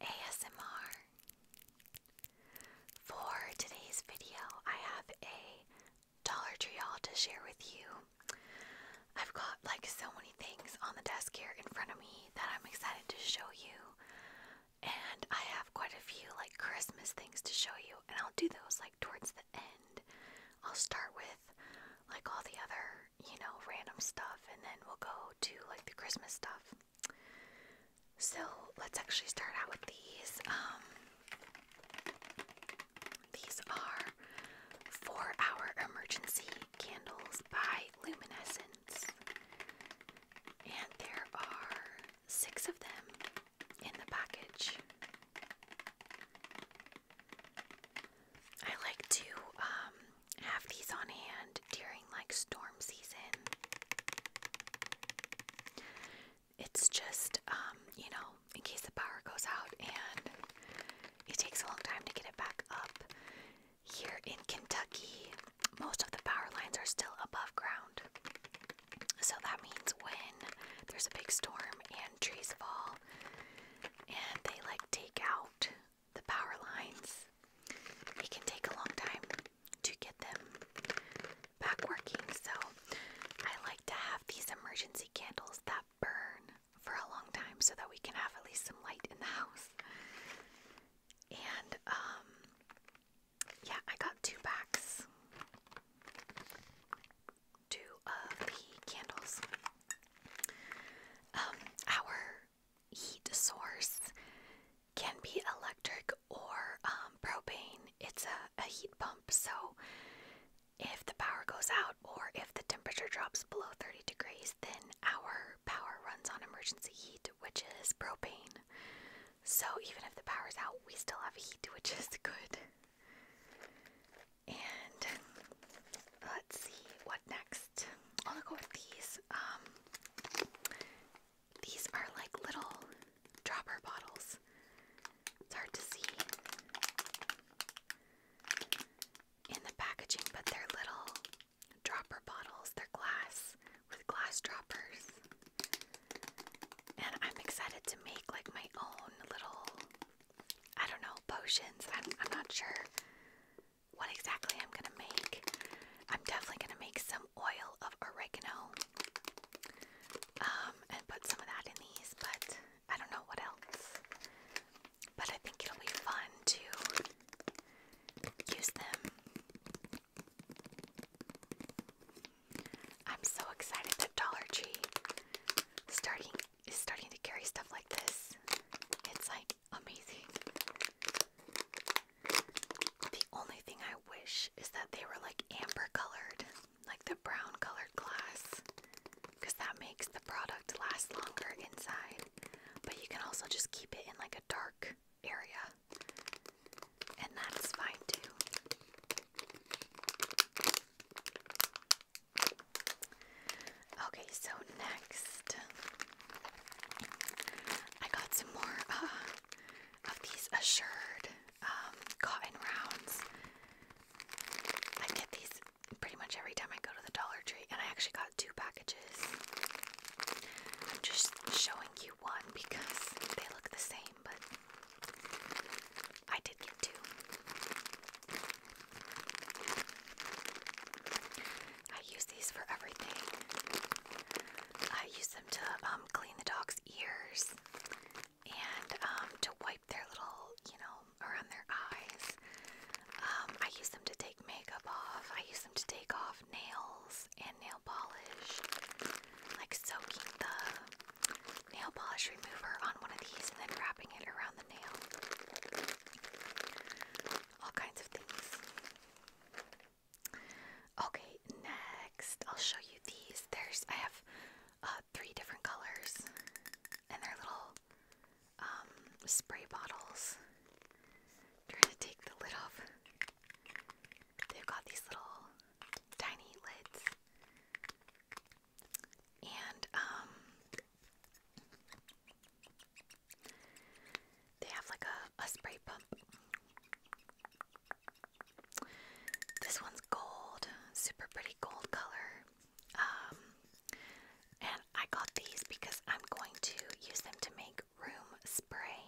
ASMR. For today's video, I have a Dollar Tree haul to share with you. I've got like so many things on the desk here in front of me that I'm excited to show you. And I have quite a few like Christmas things to show you, and I'll do those like towards the end. I'll start with like all the other, you know, random stuff, and then we'll go to like the Christmas stuff. So let's actually start out with these. Um, these are four hour emergency candles by Luminescence, and there are six of them in the package. I like to um, have these on hand during like storm season. It's just, um, you know, in case the power goes out and it takes a long time to get it back up. Here in Kentucky, most of the power lines are still above ground. So that means when there's a big storm and trees fall and they like take out the power lines, it can take a long time to get them back working. So I like to have these emergency candles that burn for a long time so that we can have at least some light in the house. And um, yeah, I got two packs. Two of the candles. Um heat source can be electric or um, propane. It's a, a heat pump, so if the power goes out or if the temperature drops below 30 degrees, then our power runs on emergency heat, which is propane. So even if the power's out, we still have heat, which is good. And let's see what next. I'll go with these. Um, these are like little dropper bottles. It's hard to see in the packaging, but they're little dropper bottles. They're glass with glass droppers. And I'm excited to make like my own little, I don't know, potions. I'm, not sure what exactly I'm gonna make. I'm definitely gonna make some oil of oregano um, and put some of that in these, but I don't know what else. But I think it'll be fun to use them. I'm so excited that Dollar Tree starting is starting to carry stuff like this. It's like amazing. The only thing I wish is that they were like amber colored, like the brown colored glass, because that makes the product last longer inside. But you can also just keep it in like a dark area, and that's fine too. Okay, so next I got some more uh, of these assured um, cotton rounds. I get these pretty much every time I go to the Dollar Tree, and I actually got two packages. I'm just showing you one because they look the same, but I did get two. I use these for everything. I use them to um, clean the dog's ears and um, to wipe their little, you know, around their eyes. Um, I use them to take makeup off. I use them to take off nails and nail polish. Like soaking the nail polish remover on one of these and then wrapping it around the nail. All kinds of things. Okay, next I'll show you these. There's I have uh, three different colors, and they're little um, spray bottles. trying to take the lid off. They've got these little tiny lids, and um, they have like a, a spray pump. This one's gold, super pretty gold color. Um, and I got these because I'm going to use them to make room spray,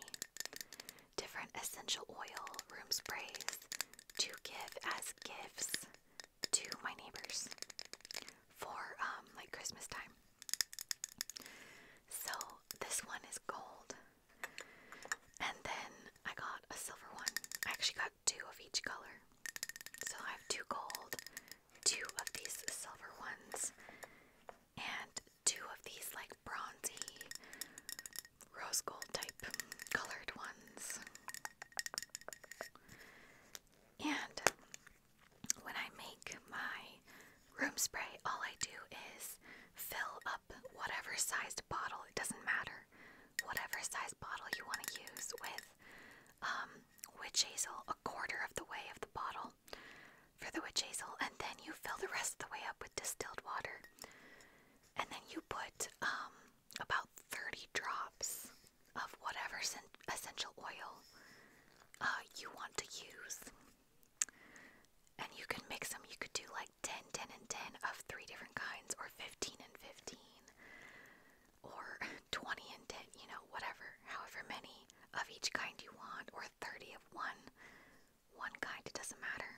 different essential oil room sprays to give as gifts to my neighbors for um, like Christmas time. So this one is gold. And then I got a silver one. I actually got two of each color. So I have two gold, two of these silver ones, and two of these like bronzy rose gold type colored ones. And when I make my room spray, all I do is fill up whatever sized bottle, it doesn't matter, whatever sized bottle you want to use with um, witch hazel, a quarter of the way of the bottle for the witch hazel, and then you fill the rest of the way up with distilled water. And then you put um, about 30 drops of whatever essential oil uh, you want to use. And you can mix them. You could do like 10, 10, and 10 of three different kinds, or 15 and 15, or 20 and 10, you know, whatever, however many of each kind you want, or 30 of one, one kind, it doesn't matter.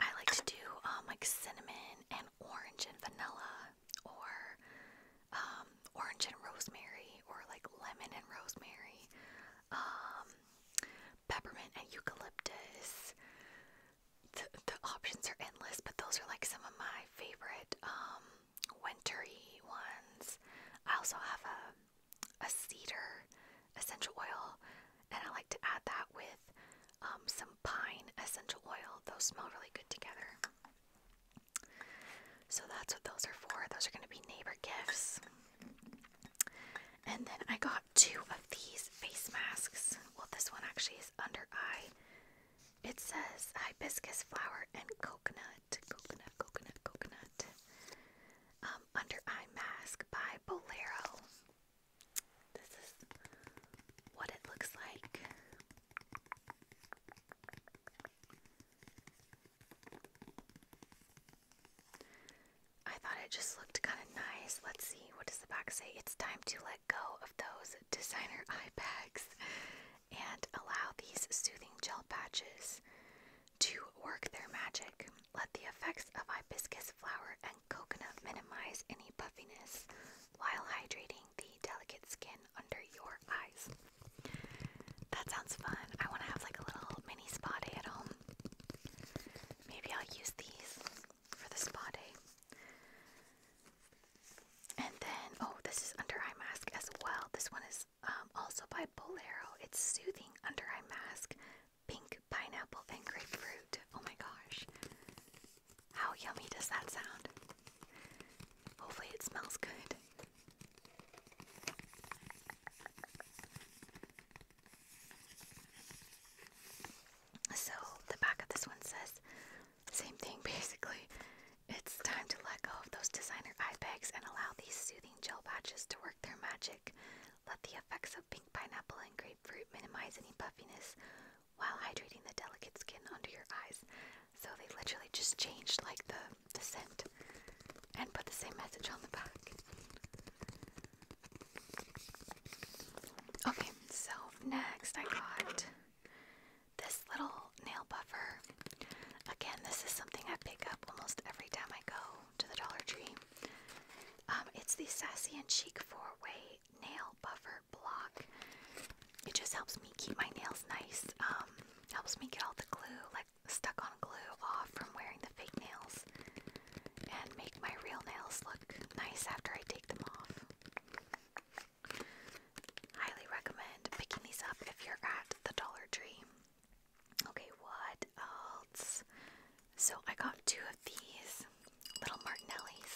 I like to do um, like cinnamon and orange and vanilla or um, orange and rosemary, or like lemon and rosemary, um, peppermint and eucalyptus. The, the options are endless, but those are like some of my favorite um, wintery ones. I also have a, a cedar essential oil, and I like to add that with um, some pine essential oil. Those smell really good together. So that's what those are for. Those are going to be neighbor gifts. And then I got two of these face masks. Well, this one actually is under eye. It says hibiscus flower and coconut, coconut, coconut, coconut. Um, under eye mask by Bolero. This is what it looks like. I thought it just looked kind of nice. Let's see, what does the back say? It's time to let go of those designer eye bags and allow these soothing gel patches to work their magic. Let the effects of hibiscus flower and coconut minimize any puffiness while hydrating the delicate skin under your eyes. That sounds fun. I want to have like a little mini spa day at home. Maybe I'll use these for the spa day. And then, oh, this is under eye mask as well. This one is um, also by Bolero. It's soothing under eye mask, pink pineapple and grapefruit. Oh my gosh, how yummy does that sound? Hopefully, it smells good. So, the back of this one says, same thing basically. It's time to let go of those designer eye bags and allow these soothing gel patches to work their magic. Let the effects of pink pineapple and grapefruit minimize any puffiness while hydrating the delicate skin under your eyes. So they literally just changed like the, the scent and put the same message on the back. Okay, so next I got this little nail buffer. Again, this is something I pick up almost every time I go to the Dollar Tree. Um, it's the Sassy and Chic four-way nail buffer block. It just helps me keep my nails nice. Um, helps me get all the glue, like stuck on glue, off from wearing the fake nails, and make my real nails look nice after I take them off. Highly recommend picking these up if you're at the Dollar Tree. Okay, what else? So I got two of these little Martinelli's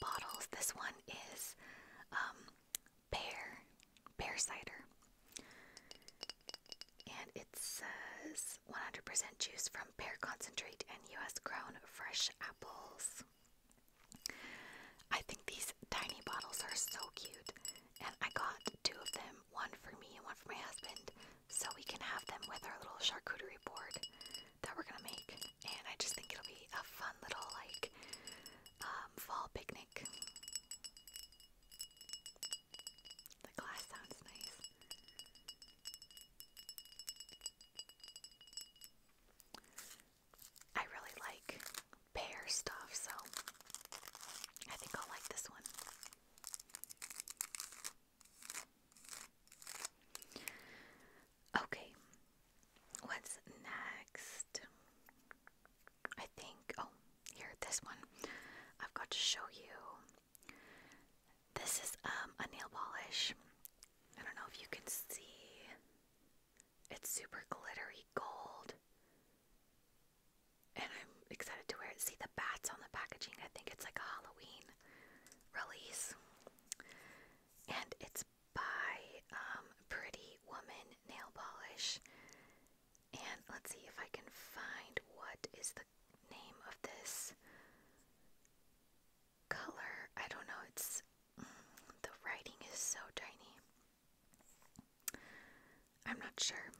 bottles. This one is um, pear, pear cider. And it says 100% juice from pear concentrate and US grown fresh apples. I think these tiny bottles are so cute. And I got two of them, one for me and one for my husband, so we can have them with our little charcuterie board that we're gonna make, and I just think it'll be a fun little like um, fall picnic. The glass sounds nice. I really like pear stuff, so I think I'll like this one. Okay, what's next? I think, oh, here, this one. I've got to show you. This is um, a nail polish. I don't know if you can see. It's super glittery gold. And I'm excited to wear it. See the bats on the packaging. I think it's like a Halloween release and it's by um, Pretty Woman Nail Polish. And let's see if I can find what is the name of this color. I don't know, it's mm, the writing is so tiny. I'm not sure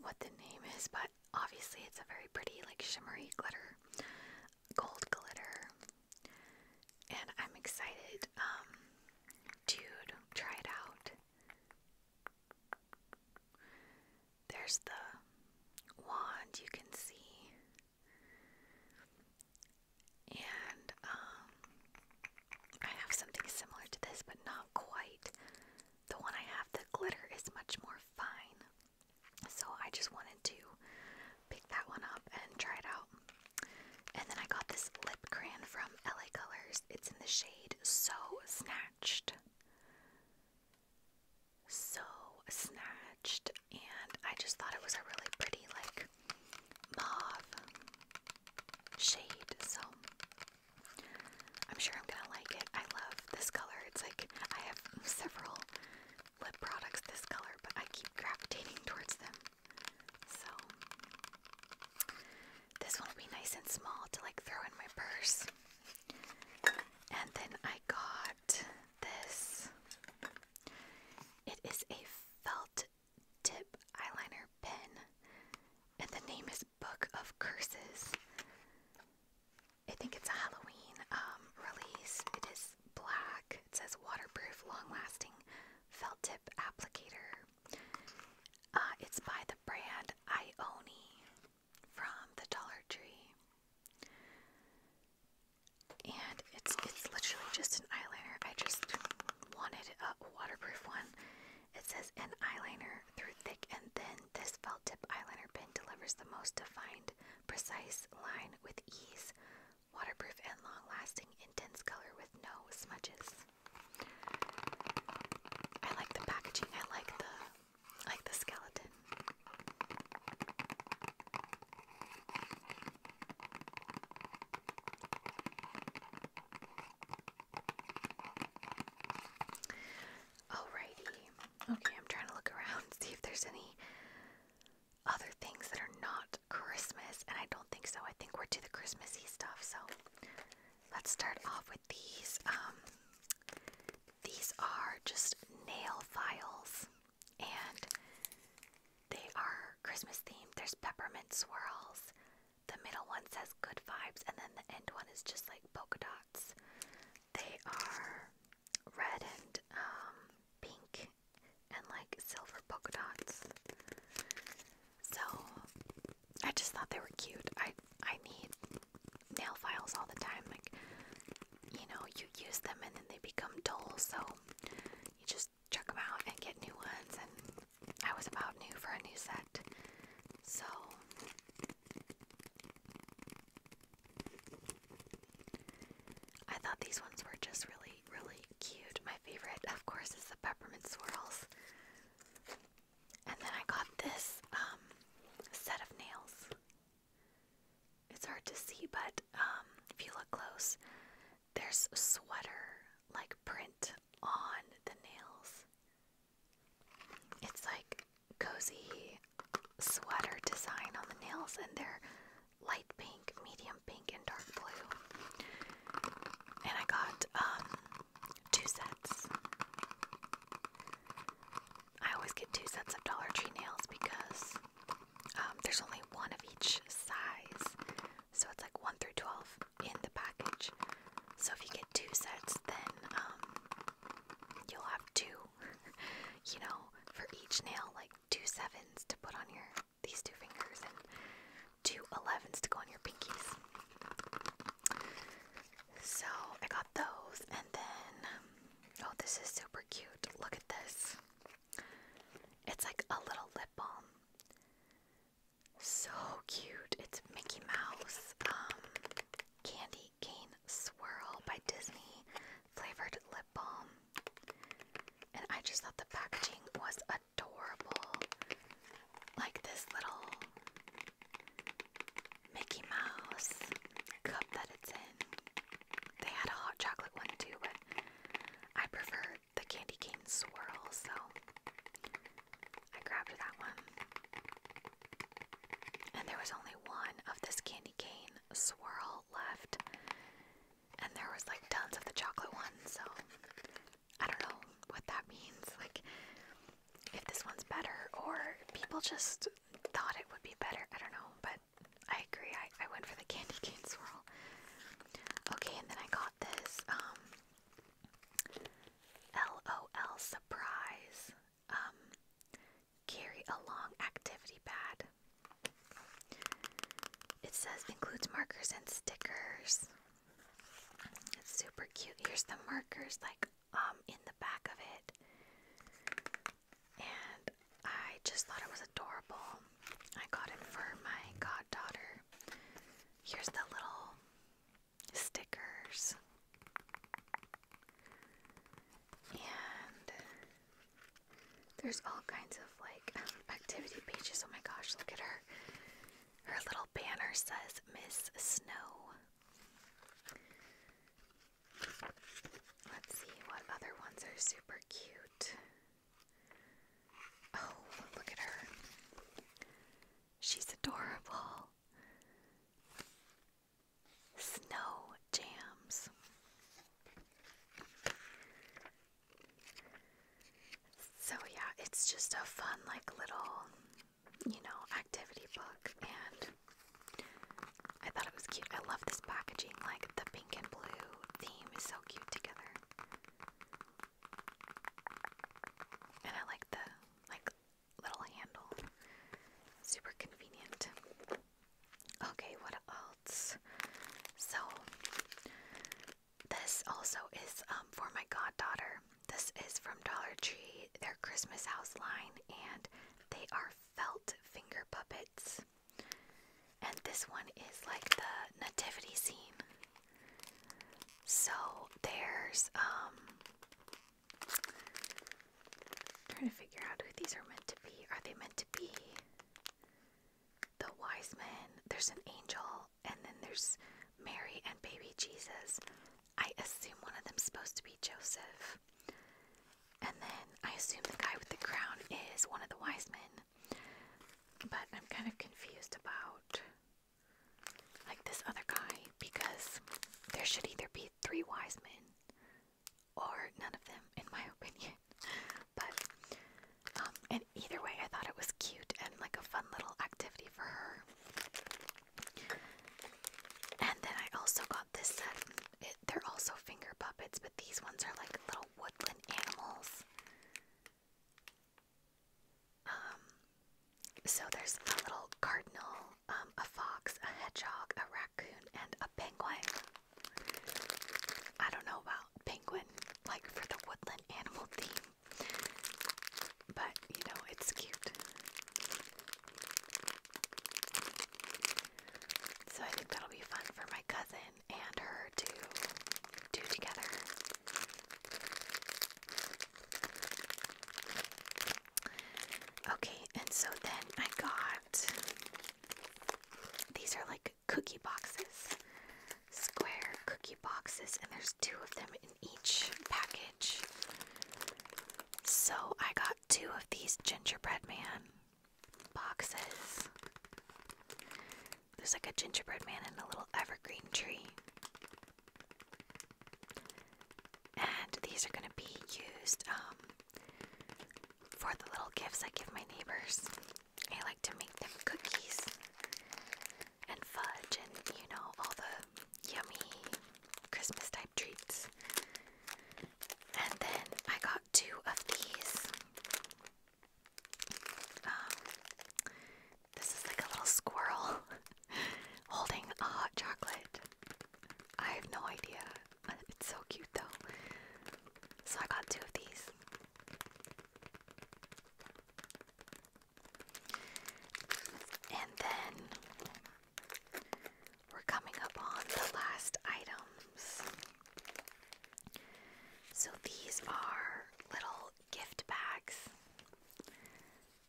what the name is, but obviously it's a very pretty, like shimmery glitter gold glitter, and I'm excited um, to try it out. There's the wand you can see, and um, I have something similar to this, but not quite. The one I have, the glitter is much more fine. So I just wanted to pick that one up and try it out. And then I got this lip crayon from LA Colors. It's in the shade So Snatched. So Snatched. And I just thought it was a really pretty, like, mauve shade. So I'm sure I'm gonna like it. I love this color. It's like I have several lip products this color, but I keep gravitating towards them. So, this one will be nice and small to like throw in my purse. And then I got this. It is a felt tip eyeliner pen, and the name is Book of Curses. I think it's a Halloween um, release. It is black. It says waterproof, long-lasting felt tip applicator. Uh, it's by the brand Ioni from the Dollar Tree, and it's it's literally just an eyeliner. I just wanted a waterproof one. It says an eyeliner through thick and then This felt tip eyeliner pen delivers the most defined precise line with ease, waterproof and long-lasting, intense color with no smudges. I like the packaging. I like the like the skeleton. Alrighty. Okay, I'm trying to look around, see if there's any other things that are not Christmas, and I don't think so. I think we're to the Christmassy stuff, so let's start off with these. Um, these are just nail files, and they are Christmas themed. There's peppermint swirls. The middle one says good vibes, and then the end one is just like polka dots. They are red and um, pink and like silver polka dots. So I just thought they were cute. I I need nail files all the time. Like you know, you use them and then they become dull. So you just chuck them out and get new ones. And I was about new for a new set. So I thought these ones were just really, really cute. My favorite, of course, is the peppermint swirls. And then I got this um, set of nails. It's hard to see, but um, if you look close, there's sweater like print on the nails. It's like cozy sweater design on the nails, and they're light pink, medium pink, and dark blue. And I got um, two sets. I always get two sets of Dollar Tree nails because um, there's only one of each size. So it's like 1 through 12 in the package. So if you get two sets, then um, you'll have two you know, for each nail, like two sevens to put on your these two fingers and two elevens to go on your pinkies. So I got those, and then oh, this is super cute. Look at this. It's like a little lip balm. So cute. It's Mickey Mouse. Um, Candy Cane Swirl by Disney flavored lip balm. And I just thought the packaging was adorable. Like this little Mickey Mouse cup that it's in. They had a hot chocolate one too, but I prefer the candy cane swirl, so I grabbed that one. And there was only one of this candy cane swirl left. And there was like tons of the chocolate ones, so I don't know what that means. Like if this one's better or people just thought it would be better. I don't know, but I agree. I, I went for the candy cane swirl. Okay, and then I got this um LOL surprise um, carry along activity pad. It says includes markers and stickers. It's super cute. Here's the markers, like um, in the back of it, and I just thought it was adorable. I got it for my goddaughter. Here's the little stickers and there's all kinds of like activity pages. Oh my gosh, look at her. Her little banner says Miss Snow. Let's see what other ones are super cute. Oh, look at her. She's adorable. Snow jams. So, yeah, it's just a fun, like, little, you know, activity book. And I thought it was cute. I love this packaging. Like, the pink and blue theme is so cute together. And I like the, like, little handle. Super convenient. Okay, what else? So, this also is um, for my goddaughter. This is from Dollar Tree, their Christmas house line, and they are felt finger puppets. And this one is like the nativity scene. So, there's um trying to figure out who these are meant to be. Are they meant to be the wise men? There's an angel, and then there's Mary and baby Jesus. I assume one of them's supposed to be Joseph. And then I assume the guy with the crown is one of the wise men. But I'm kind of confused about like this other guy because there should either be three wise men or none of them in my opinion but um, and either way i thought it was cute and like a fun little activity for her and then i also got this set um, they're also finger puppets but these ones are like little woodland animals um, so there's a little cardinal, um, a fox, a hedgehog, a raccoon, and a penguin. I don't know about penguin, like for the woodland animal theme, but you know, it's cute. So I think that'll be fun for my cousin and her to do together. Okay, and so then I got these are like cookie boxes, square cookie boxes, and there's two of them in each package. So I got two of these gingerbread man boxes. There's like a gingerbread man and a little evergreen tree. And these are going to be used um, for the little gifts I give my neighbors. I like to make them cookies and fudge and, you know, all the yummy Christmas type treats. And then I got two of these. Um, this is like a little squirrel holding a hot chocolate. I have no idea. Uh, it's so cute though. So I got two of these. And then we're coming up on the last items. So these are little gift bags.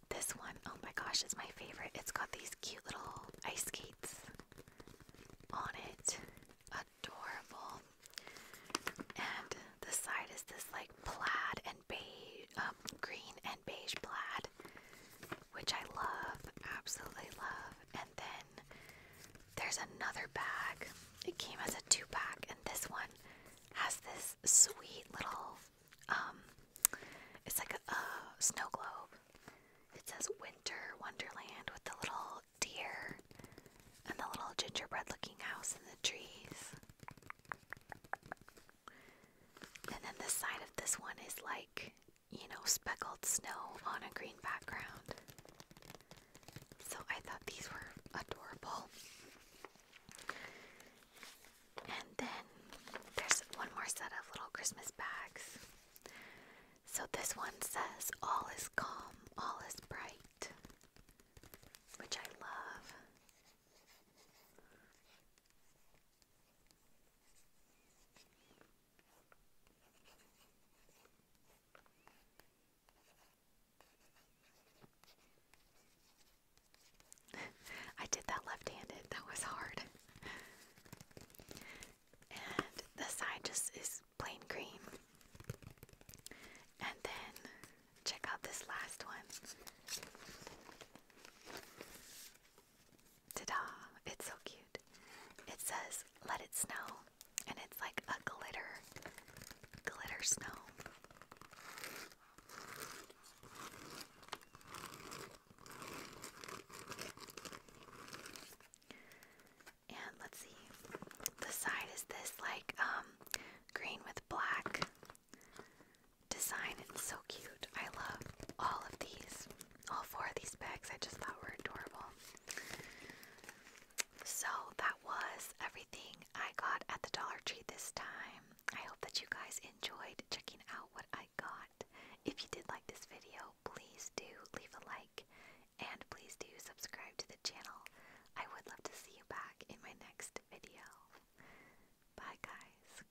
This one, oh my gosh, is my favorite. It's got these cute little ice skates on it. Adorable. And the side is this like plaid and beige, um, green and beige plaid, which I love, absolutely love. And then there's another bag. It came as a two pack, and this one has this sweet little um, it's like a snow globe. It says Winter Wonderland with the little deer and the little gingerbread looking house and the trees. And then the side of this one is like, you know, speckled snow on a green background. So I thought these were adorable. And then there's one more set of little Christmas bags. So this one says, All is calm, all is bright, which I love. I did that left-handed. That was hard. and the side just is plain green. And then check out this last one. Ta-da! It's so cute. It says, let it snow. And it's like a glitter, glitter snow. And let's see. The side is this like um, green with black design. It's so cute. I love all of these. All four of these bags I just thought were adorable. So that was everything I got at the Dollar Tree this time. I hope that you guys enjoyed checking out what I got. If you did like this video, please do leave a like and please do subscribe to the channel. I would love to see you back in my next video. Bye guys.